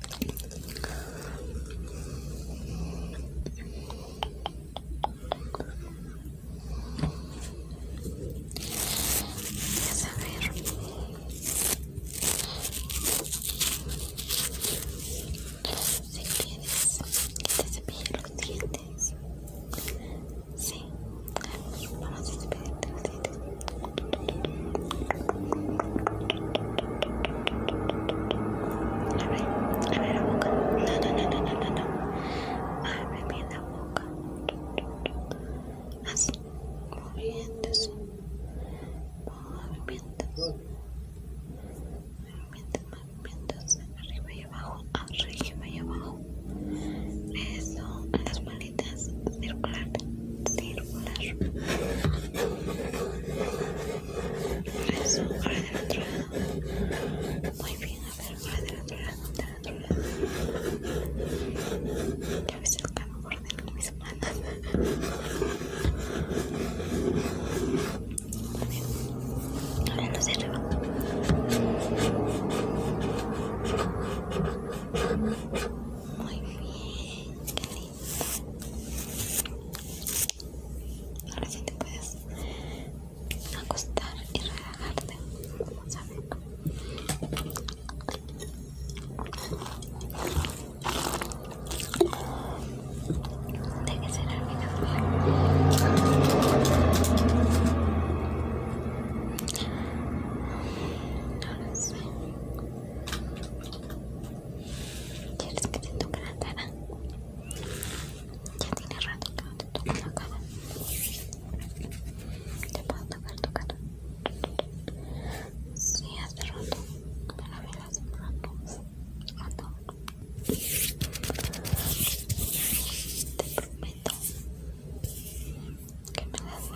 a si quieres que te cepille los dientes. Sí, vamos a cepillarte los dientes. Abre, abre la boca. No, no, no, no, no, no. Abre bien la boca. Así, moviéndose. Movimientos. Movimientos, movimientos. Arriba y abajo, arriba y abajo. Eso, las manitas circular, circular. Eso, ahora del otro lado. Muy bien, a ver, ahora del otro lado, del otro lado. Ya ves el cambio por dentro de mis manos. Muy bien. Ahora lo se levanta. Muy bien, qué lindo. Ahora sí te puedes acostar y relajarte. Vamos a ver. Tiene que ser el Ahora sí. ¿Quieres que te toque la cara? Ya tiene rato que no te toco la cara. ¿Te puedo tocar tu cara? Sí, hace rato. Me la vi hace rato. Rato. Te prometo que me das a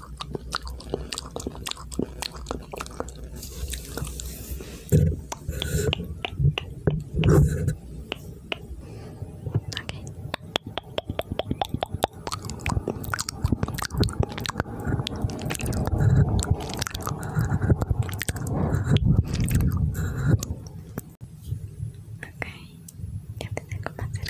Okay, you have to think about it.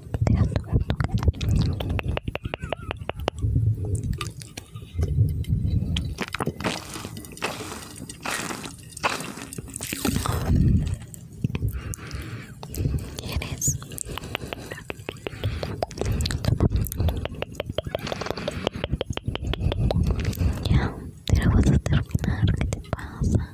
¿Quieres? Ya, te la vas a terminar, ¿qué te pasa?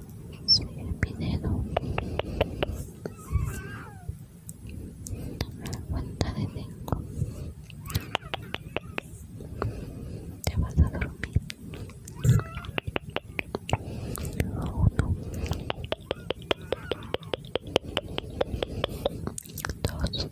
subir mi dedo la cuenta de tengo te vas a dormir uno dos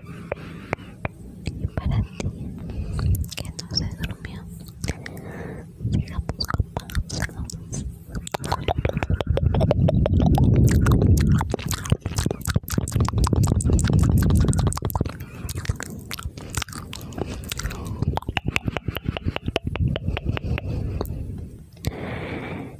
Y para ti que no se durmió, sigamos con